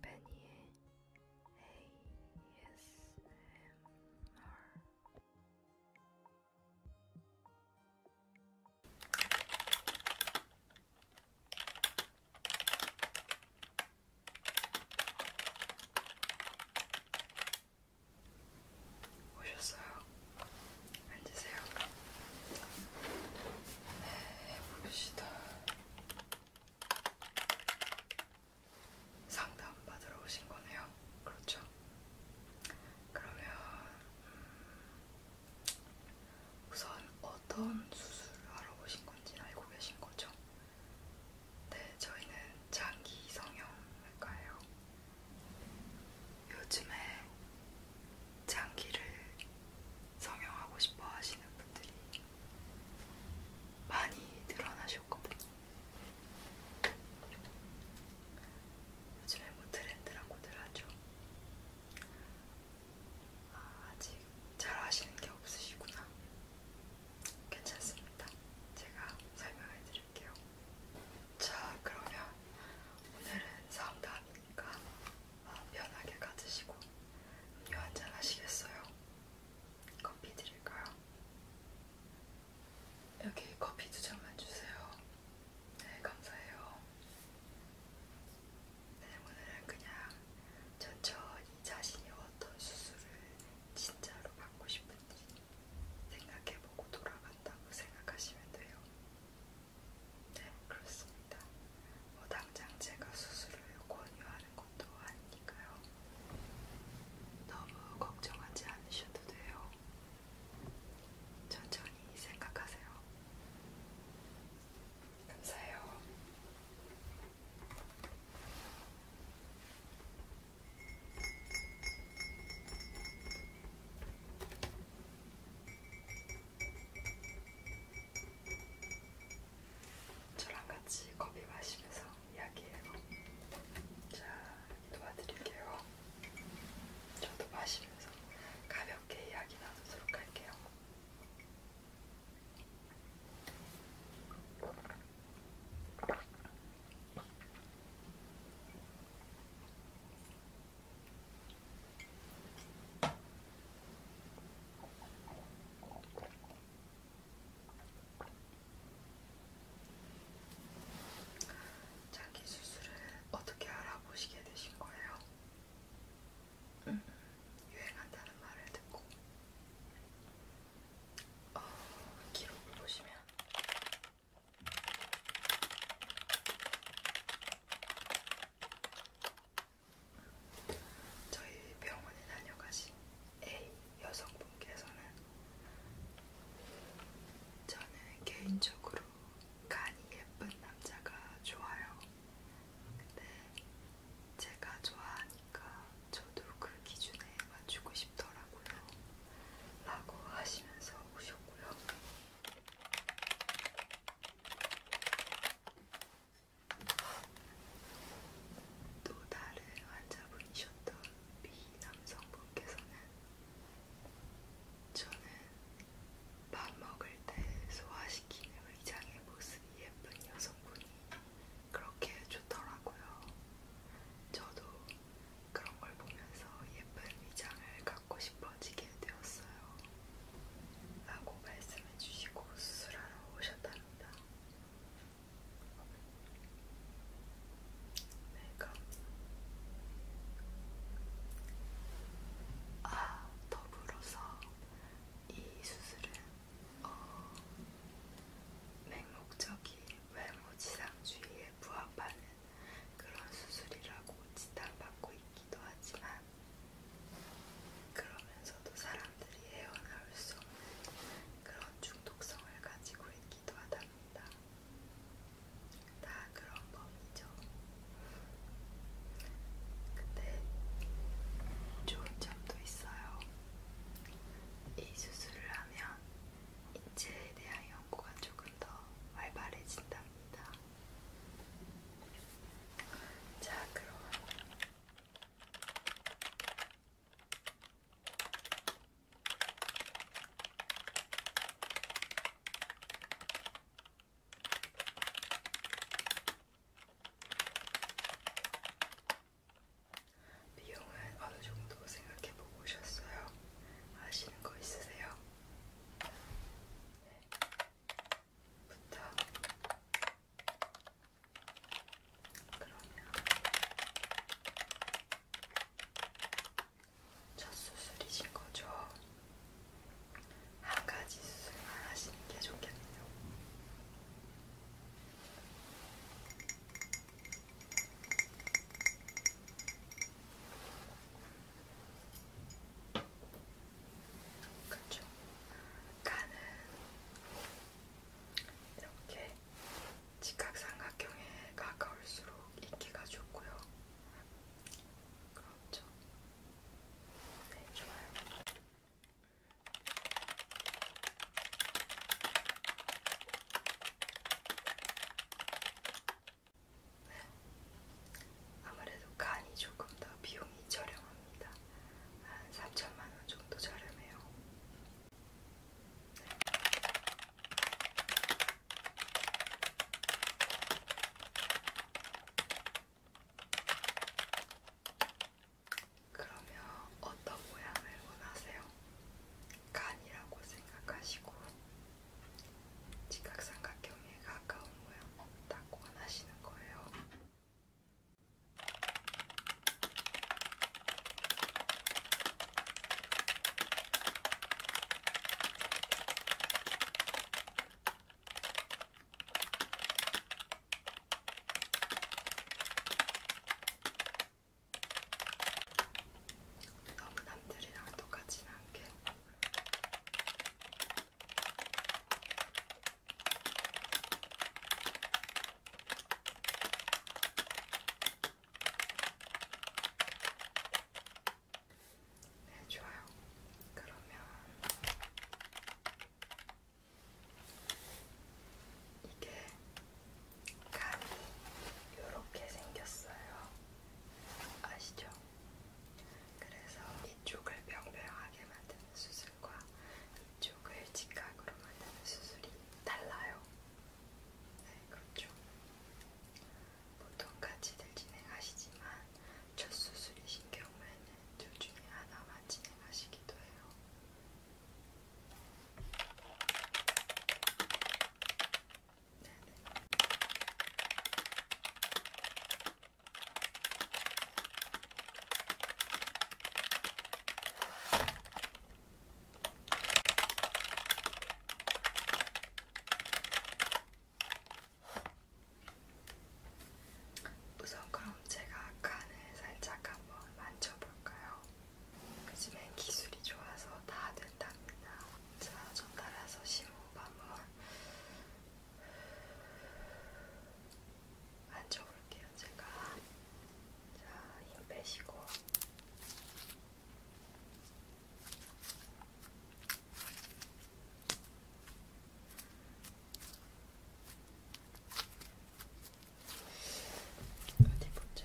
베니의 ASMR 오셨어요? 앉으세요. 네, 해봅시다. 상담 받으러 오신 거네요. 그렇죠? 그러면 음, 우선 어떤 수술하러 오신 건지 알고 계신 거죠? 네, 저희는 장기 성형외과예요. 요즘에 장기를 성형하고 싶어 하시는 분들이 많이 늘어나셨거든요. 요즘에 뭐 트렌드라고들 하죠. 아, 아직 잘 아시는 게 없으시구나. 괜찮습니다. 제가 설명해 드릴게요. 자, 그러면 오늘은 상담 테니까 마음 편하게 가드시고 음료 한잔 하시겠어요? 커피 드릴까요? 여기 커피 두 잔만 주세요. 네, 감사해요. 네, 오늘은 그냥 천천히 자신이 어떤 수술을 진짜로 받고 싶은지 생각해보고 돌아간다고 생각하시면 돼요. 네, 그렇습니다. 뭐 당장 제가 수술을 권유하는 것도 아니니까요. 너무 걱정하지 않으셔도 돼요. 천천히 생각하세요. 감사해요. 저랑 같이 커피 마시면서 이야기해요. 자, 도와드릴게요. 저도 마시면서 가볍게 이야기 나누도록 할게요. 자기 수술을 어떻게 알아보시게 되신 거예요? 음. 유행한다는 말을 듣고 어, 기록을 보시면 저희 병원에 다녀가신 A 여성분께서는 저는 개인적으로 간이 예쁜 남자가 좋아요. 근데 제가 좋아하니까 저도 그 기준에 맞추고 싶더라고요. 라고 하시면서 오셨고요. 또 다른 환자분이셨던 미남성분께서는 저는 밥 먹을 때 소화시키는 의장의 모습이 예쁜 여성분이 그렇게 좋더라고요. 저도 그런 걸 보면서 예쁜 의장을 갖고 싶어지게 되었어요. 라고 말씀해 주시고 수술하러 오셨답니다. 네, 그럼 아, 더불어서 이 수술은 어, 맹목적인 외모 지상주의에 부합하는 그런 수술이라고 지탄받고 있기도 하지만 그러면서도 사람들이 헤어나올 수 없는 그런 중독성을 가지고 있기도 하답니다. 다 그런 법이죠. 근데 좋은 점도 있어요. 이 수술을 하면 인체에 대한 연구가 조금 더 활발해진답니다. 자, 그럼. 비용은 어느 정도 생각해 보고 오셨어요? 아시는 거 있으세요? 네. 부터 그러면 첫 수술이신 거죠? 한 가지 수술만 하시는 게 좋겠네요. 그쵸? 그렇죠. 간은 이렇게 직각삼각형에 가까울수록 인기가 좋고요. 그렇죠? 네, 좋아요. 네. 아무래도 간이 조금 더 비용이 저렴합니다. 한 3천만원 정도 저렴해요. 네. 그러면 어떤 모양을 원하세요? 간이라고 생각하시고 직각삼각형에 가까운 모양 딱 원하시는 거예요. 너무 남들이랑 똑같진 않게 네, 좋아요. 그러면 이게 간이 이렇게 생겼어요. 아시죠? 그래서 이쪽을 명명하게 만드는 수술과 이쪽을 직각으로 만드는 수술이 달라요. 네, 그렇죠. 보통 같이들 진행하시지만 첫 수술이신 경우에는 둘 중에 하나만 진행하시기도 해요. 네네. 네. 우선 그럼 제가 칸을 살짝 한번 만져볼까요? 그 집엔 기술이 좋아서 다 된답니다. 자, 전 따라서 15밤을 앉아볼게요, 제가. 자, 힘 빼시고. 어디 보자.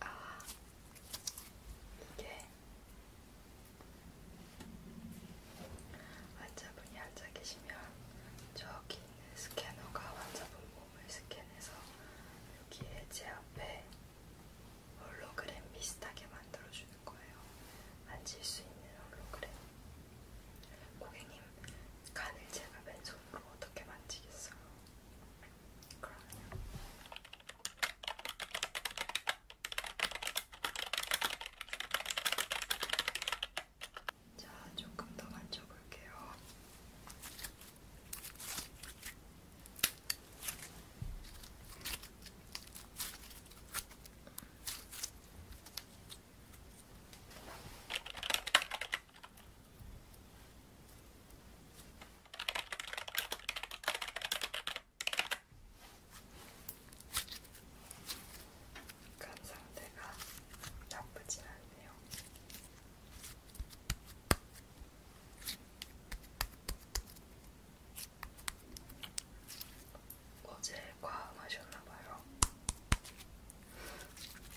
아, 이게 환자분이 앉아 계시면 저기 있는 스캐너가 환자분 몸을 스캔해서 여기에 제 앞에 홀로그램 비슷하게 만들어주는 거예요. 만질 수 있는 홀로그램. 고객님, 간을 제가 맨손으로 그럼 어떻게 만지겠어요? 그러면요. 자, 조금 더 만져볼게요. 자, 간 상태가 나쁘진 않네요. 어제 과음하셨나봐요.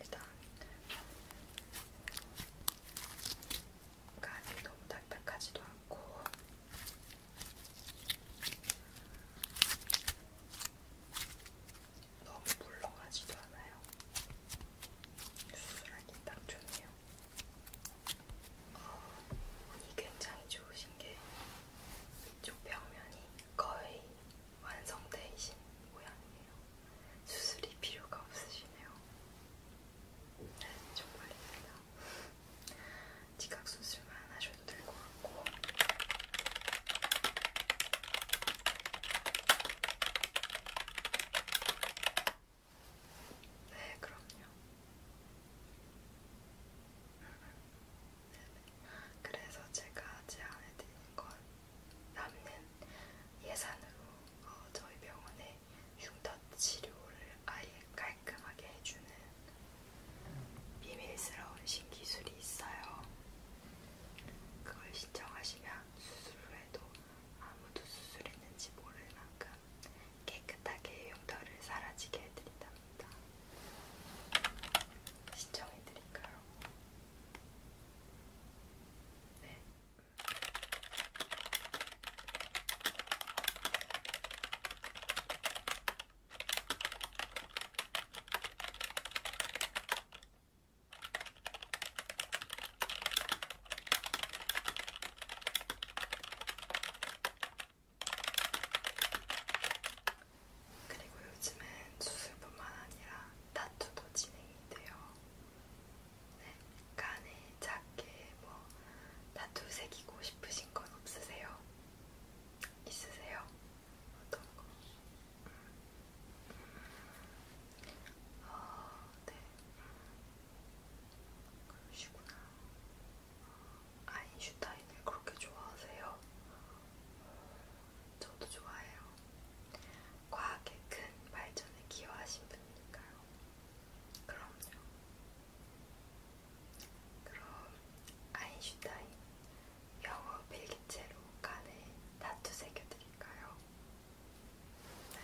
일단 간이 너무 딱딱하지도 않고 너무 물렁하지도 않아요. 수술하기 딱 좋네요. 어, 아, 운이 굉장히 좋으신 게 이쪽 벽면이 거의 완성되신 모양이에요. 수술이 필요가 없으시네요. 네, 정말 힘들다. 지각 수술만 하셔도 될것 같고. 네, 그럼요. 음, 음. 그래서 제가 제안해드리는 건 남는 예산으로 어, 저희 병원에 흉터 치료를 아예 깔끔하게 해주는 비밀스러운 신기술이 있어요. 그걸 신청하시면 수술 후에도 아무도 수술했는지 모를 만큼 깨끗하게 흉터를 사라지게 해드린답니다. 신청해드릴까요? 네. 그리고 요즘은 수술뿐만 아니라 타투도 진행이 돼요. 네, 간에 작게 뭐 타투 새기고 싶으신 건 없으세요? 있으세요? 어떤 거? 아, 네. 그러시구나. 아, 아인슈타인을 그렇게 좋아하세요? 음, 저도 좋아해요. 과학의 큰 발전에 기여하신 분이니까요. 그럼요. 그럼 아인슈타인 영어 필기체로 간에 다투 새겨드릴까요? 네.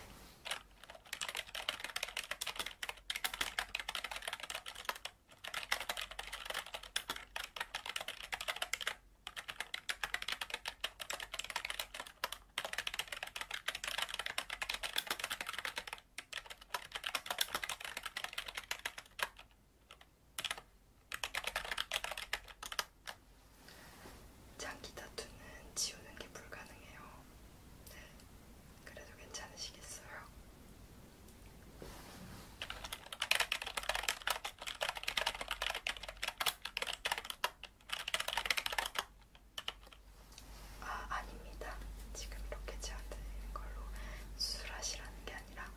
장기 다투는 지우는 게 불가능해요. 네. 그래도 괜찮으시겠어요? 아, 아닙니다. 지금 이렇게 제안드리는 걸로 수술하시라는 게 아니라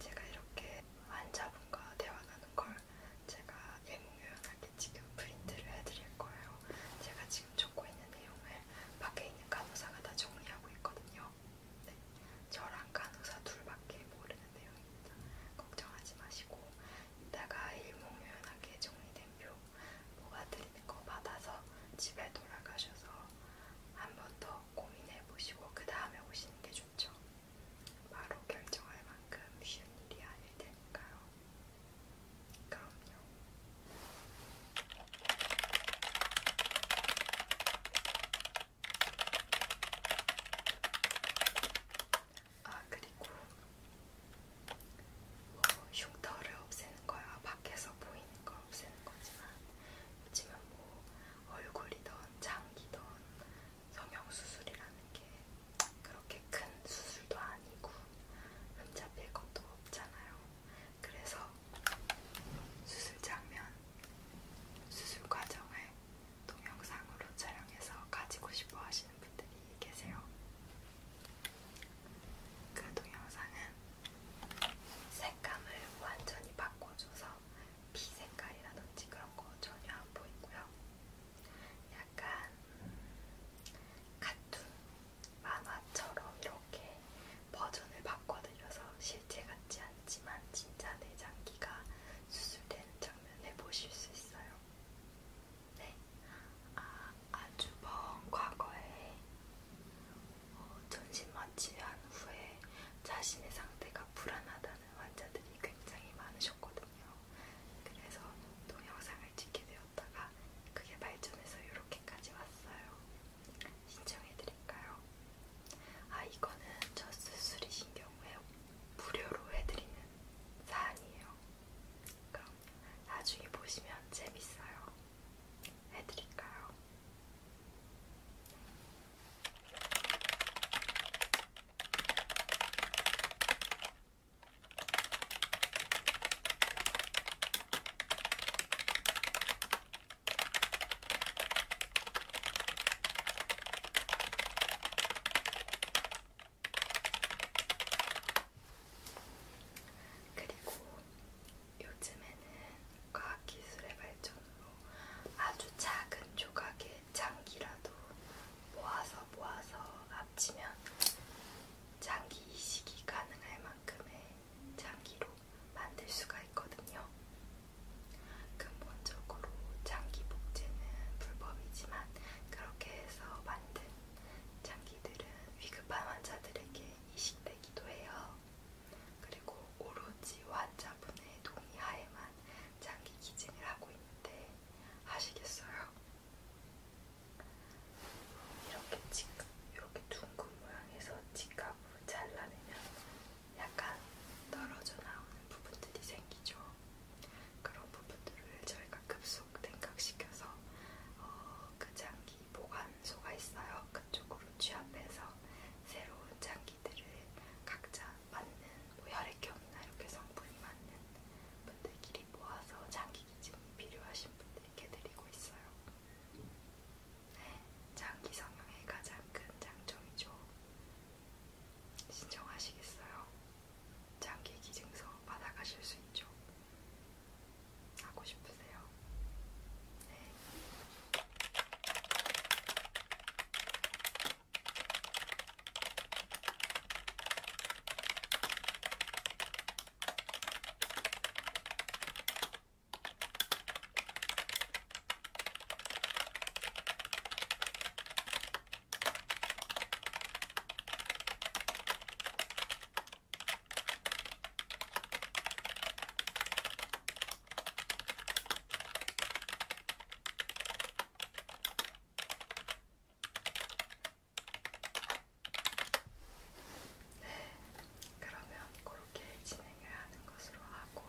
제가 이렇게 환자분과 대화 나는걸 제가 예몽요연하게 지금 프린트를 해드릴 거예요. 제가 지금 적고 있는 내용을 밖에 있는 간호사가 다 정리하고 있거든요. 네. 저랑 간호사 둘밖에 모르는 내용 걱정하지 마시고 이따가 일목요연하게 정리된 표 뽑아드리는 거 받아서 집에 돌아가셔서 한 번 더 고민해보시고 그 다음에 오시는 게 좋죠. 바로 결정할 만큼 쉬운 일이 아닐 테니까요. 그럼요. 아 그리고 뭐 흉터를 없애는 거야 밖에서 보이는 거 없애는 거지만 그렇지만 뭐 얼굴이든 장기든 성형 수술이라는 게 그렇게 큰 수술도 아니고 흠잡힐 것도 없잖아요. 그래서 수술 장면, 수술 과정을 동영상으로 촬영해서 가지고 싶어 하시는 분들이 계세요. 그 동영상은 색감을 완전히 바꿔줘서 비색깔이라든지 그런 거 전혀 안 보이고요. 약간 카툰 만화처럼 이렇게 버전을 바꿔드려서 실제 같지 않지만 진짜 내장기가 수술되는 장면해 보실 수 있어요. 네, 아, 아주 먼 과거에 어, 전신 마취한 후에 자신의 상태가 불안하다는 환자들이 굉장히 많으셨거든요. 그래서 동영상을 찍게 되었다가 그게 발전해서 이렇게까지 왔어요. 신청해드릴까요? 아, 이거는 첫 수술이신 경우에 무료로 해드리는 사안이에요. 그럼 나중에 보시면 재밌어요. 해드릴까요? 그리고 요즘에는 과학기술의 발전으로 아주 작은 조각의 장기라도 모아서 모아서 합치면 장기 이식이 가능할 만큼의 장기로 만들 수가 있거든요. 근본적으로 장기 복제는 불법이지만 그렇게 해서 만든 장기들은 위급한 환자들에게 이식되기도 해요. 그리고 오로지 환자분의 동의하에만 장기 기증을 하고 있는데 아시겠어요? 이렇게 직각, 이렇게 둥근 모양에서 직각으로 잘라내면 약간 떨어져 나오는 부분들이 생기죠. 그런 부분들을 저희가 급속 냉각시켜서 어, 그 장기 보관소가 있어요. 그쪽으로 취합해서 새로운 장기들을 각자 맞는 뭐 혈액형이나 이렇게 성분이 맞는 분들끼리 모아서 장기 기증이 필요하신 분들께 드리고 있어요. 네, 장기 성형의 가장 큰 장점이죠. 신청하시겠어요? 장기 기증서 받아가실 수 있죠? 하고 싶으세요? 네. 네, 그러면 그렇게 진행을 하는 것으로 하고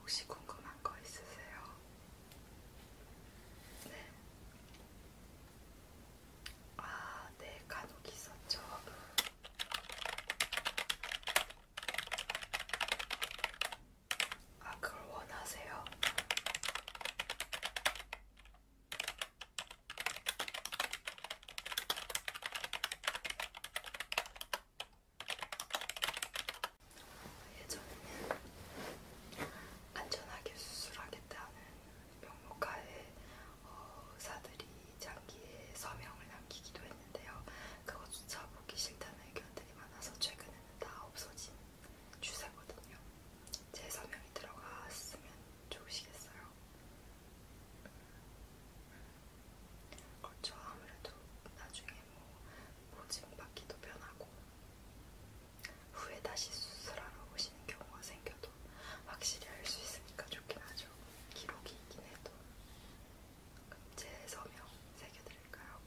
혹시 궁금한 거 있으세요? 네. 아, 네, 간혹 있었죠. 아, 그걸 원하세요? 예전에는 안전하게 수술하겠다는 명목하에 어, 의사들이 장기에 서명을 남기기도 했는데요. 그것조차 보기 싫다는 의견들이 많아서 최근에는 다 없어진 주세거든요. 제 서명이 들어갔으면 좋으시겠어요. 그렇죠. 아무래도 나중에 뭐 보증받기도 변하고 후에 다시 수술하러 오시는 경우가 생겨도 확실히 알 수 있으니까 좋긴 하죠. 기록이 있긴 해도. 그럼 제 서명 새겨드릴까요?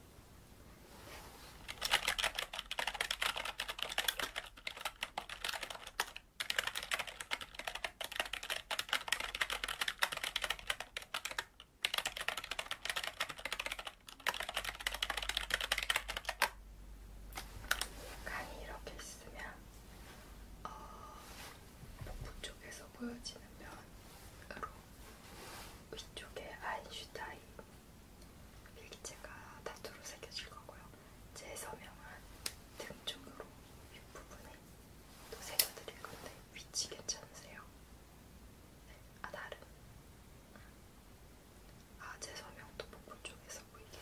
간이 이렇게 있으면 어, 복부 쪽에서 보여지는 면으로 위쪽에 아인슈타인 일기체가 타투로 새겨질 거고요. 제 서명은 등 쪽으로 윗부분에 또 새겨드릴 건데 위치 괜찮으세요? 네. 아 다른? 아제 서명도 복부 쪽에서 보이게.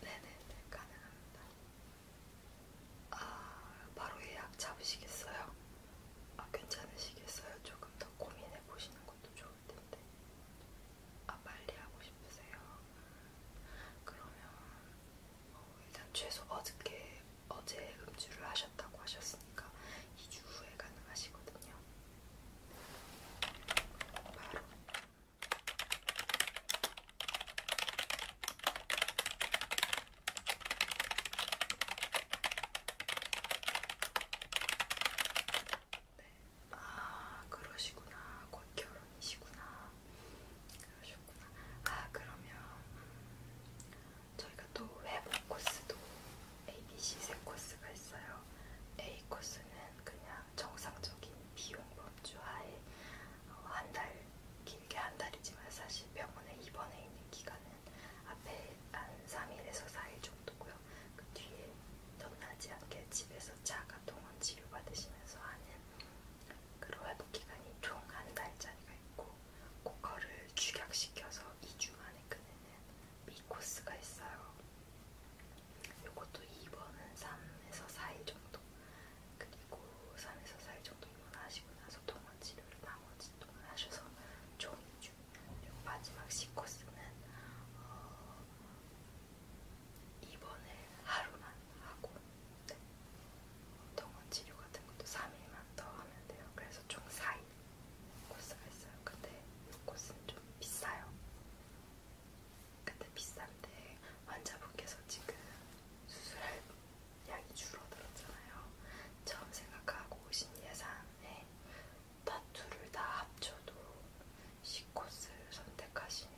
네네네 가능합니다. 아 바로 예약 잡으시겠어요? 아 괜찮으시겠어요? 조금 더 고민해 보시는 것도 좋을 텐데. 아 빨리 하고 싶으세요? 그러면 어, 일단 최소 어저께 어제 음주를 하셨다고 하셨으니까 2주 후에 가능하시거든요. 바로. 네. 아, 그러시구나. 곧 결혼이시구나. 그러셨구나. 아 그러면 음, 저희가 또 회복 코스도 A, B, C 세 코스가 있어요. A 코스는 그냥 정상적인 비용 범주하에 어, 한 달, 길게 한 달이지만 사실 병원에 입원해 있는 기간은 앞에 한 3일에서 4일 정도고요. 그 뒤에 덧나지 않게 집에서 자가 동원 치료 받으시면서 하는 그런 회복 기간이 총 한 달짜리가 있고 고커를 축약시켜서 2주 만에 끄는 미코스가 있어요. 요것도 2번은 3에서 4일 정도 그리고 3에서 4일 정도 입원하시고 나서 동원 치료를 나머지 동안 하셔서 총 2주 그리고 마지막 C코스는 어, 입원을 하루만 하고 네. 동원 치료 같은 것도 3일만 더 하면 돼요. 그래서 총 4일 코스가 있어요. 근데 이 코스는 좀 비싸요. 근데 비싼데 환자분께서 지금 수술할 양이 줄어들었잖아요. 처음 생각하고 오신 예산에 다투를 다 합쳐도 C코스를 선택하시면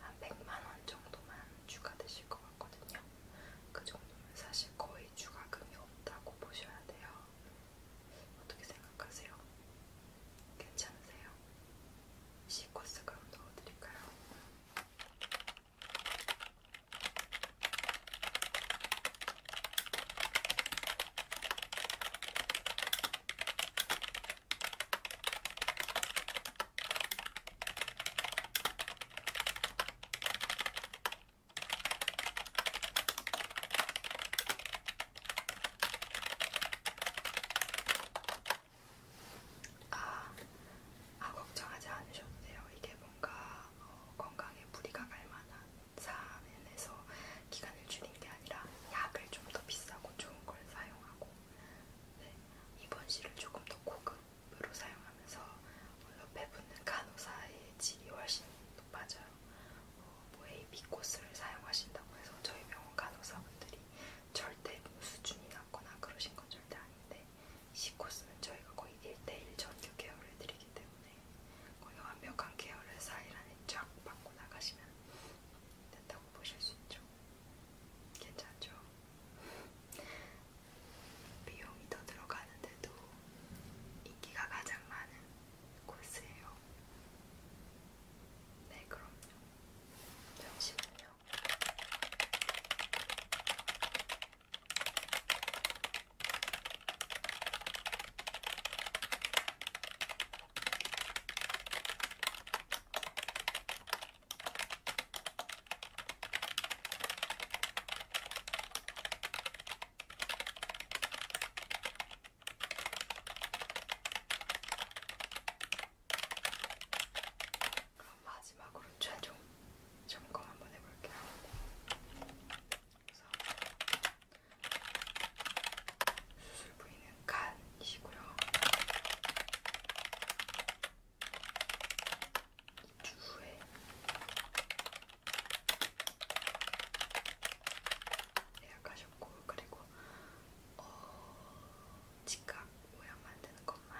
한 100만원 정도만 추가되실 것 같거든요. 그 정도면 사실 거의 추가금이 없다고 보셔야 돼요. 어떻게 생각하세요? 괜찮으세요? 시코스 그럼 넣어드릴까요? 아, 아 걱정하지 않으셔도 돼요. 이게 뭔가 어, 건강에 무리가 갈 만한 사면에서 기간을 줄인 게 아니라 약을 좀 더 비싸고 좋은 걸 사용하고 네, 입원실을 조금 더 고급 립으로 사용하면서 어, 옆에 붙는 간호사의 질이 훨씬 높아져요. 어, 뭐 AB 코스를 사용하신다고 해서 저희 병원 간호사분들이 절대 수준이 낮거나 그러신 건 절대 아닌데 C 코스는 저희가 거의 1대1 전교 케어를 해드리기 때문에 거의 완벽한 케어를 4일 안에 쫙 받고 나가시면 된다고 보실 수 있죠. 괜찮죠? 비용이 더 들어가는데도 인기가 가장 많은 코스예요. 네, 그럼요. 잠시만요. 그럼 마지막으로 최종 점검 한번 해볼게요. 그래서 수술 부위는 간이시고요. 2주 후에 예약하셨고 그리고 어, 직각 모양 만드는 것만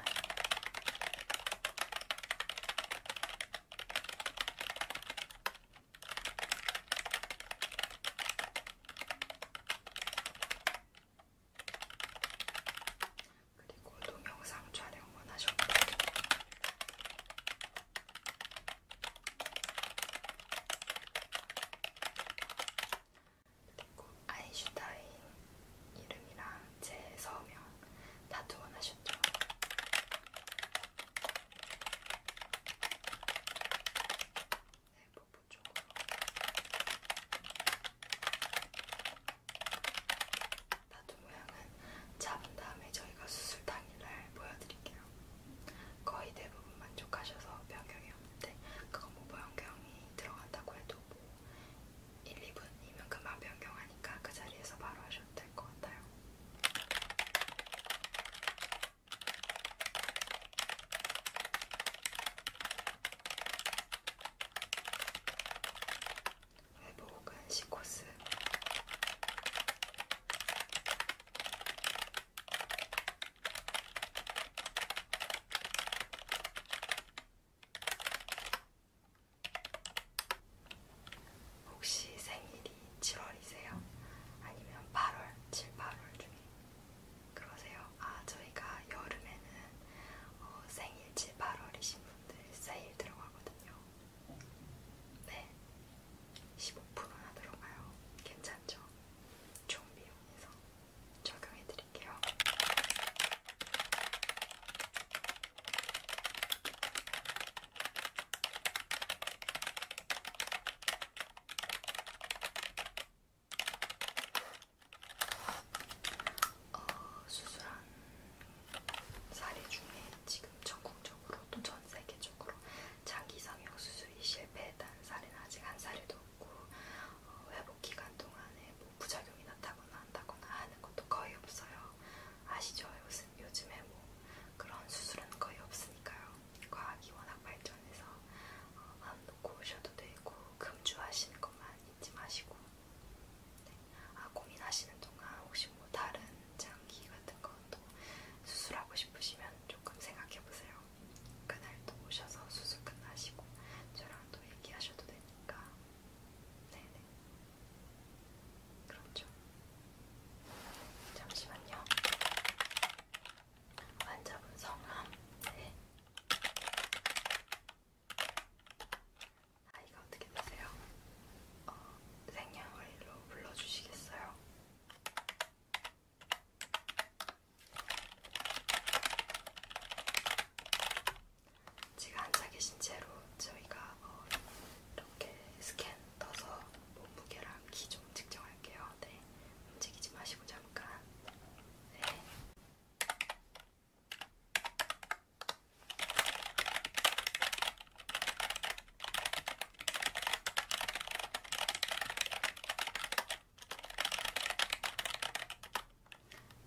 그리고 동영상 촬영 원하셨고 그리고 아인슈타인 이름이랑 제 서명 다두 원하셨죠? 네, 복부 쪽으로. 타투 모양은 잡은 다음에 저희가 수술 당일날 보여드릴게요. 거의 대부분 만족하셔서 변경이 없는데 그거 뭐 변경이 들어간다고 해도 뭐 1, 2분이면 그만 변경하니까 그 자리에서 바로 하셔도 될 것 같아요. 행복 간식 코스 혹시 생일이 7월이세요? 아니면 8월, 7, 8월 중에 그러세요? 아 저희가 여름에는 어, 생일 7, 8월이신 분 사람들 세일 들어가거든요. 네. 15%나 들어가요. 괜찮죠? 총 비용에서 적용해 드릴게요. 어, 수술한 사례 중에 지금 전국적으로 또 전 세계적으로 장기 성형 수술이 실패했다는 사례는 아직 한 사례도 없고 어, 회복 기간 동안에 뭐 부작용이 나타거나 한다거나 하는 것도 거의 없어요. 아시죠? 요즘, 요즘에 뭐 그런 수술은 거의 없으니까요. 과학이 워낙 발전해서 어, 마음 놓고 오셔도 되고 금주하시는 것만 잊지 마시고 네. 아, 고민하시는 동안 혹시 뭐 다른 장기 같은 것도 수술하고 싶으시면 조금 생각해 보세요. 그날 또 오셔서 수술 끝나시고 저랑 또 얘기하셔도 되니까. 네네. 그렇죠. 잠시만요. 환자분 성함. 네. 나이가 아, 어떻게 되세요? 어, 생년월일로 불러주시겠어요? 지금 앉아 계신 채로 저희가 어, 이렇게 스캔 떠서 몸무게랑 키 좀 측정할게요. 네, 움직이지 마시고 잠깐. 네.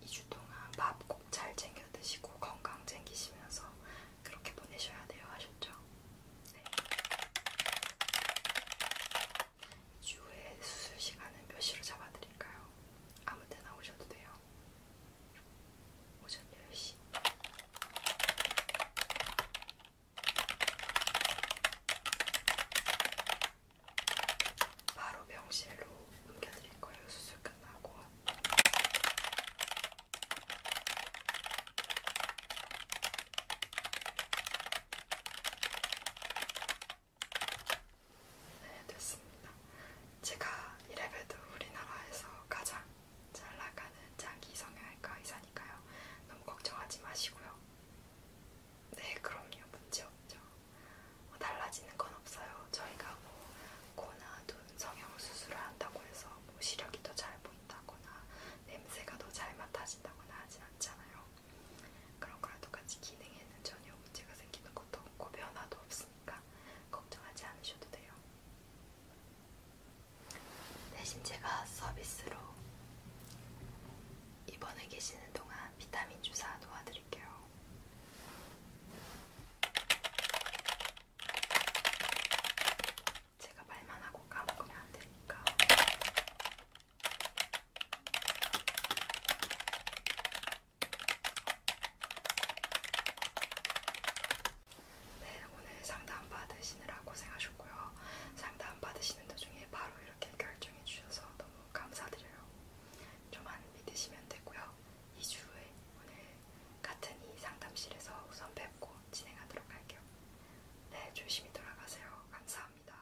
2주 동안 밥 꼭 잘 챙겨 드시고 건강 챙기시면서 그렇게 보내셔야 돼요. 아셨죠? 네. 2주 후에 수술 시간은 몇 시로 잡아드릴까요? 아무 때나 오셔도 돼요. 오전 10시 바로 병실로 옮겨드릴 거예요. 수술 끝나고. 네, 됐습니다. 제가 이래봬도 우리나라에서 가장 잘 나가는 장기 성형외과 의사니까요. 너무 걱정하지 마시고요. 네, 그럼요. 문제 없죠. 뭐 달라지는 건 없어요. 저희가 뭐 코나 눈 성형 수술을 한다고 해서 뭐 시력이 더 잘 보인다거나 냄새가 더 잘 맡아진다거나 하진 않잖아요. 그런 거랑 똑같이 기능에는 전혀 문제가 생기는 것도 없고 변화도 없습니다. 있으니까 걱정하지 않으셔도 돼요. 대신 제가 서비스로 입원해 계시는 동안 비타민 주사 도와드릴게요. 제가 말만 하고 까먹으면 안 되니까. 네, 오늘 상담 받으시느라 고생하셨고요. 상담 받으시는 도중에 바로 이렇게 결정해 주셔서 너무 감사드려요. 좀만 믿으시면 되고요. 2주 후에 오늘 같은 이 상담실에서 우선 뵙고 진행하도록 할게요. 네, 조심히 돌아가세요. 감사합니다.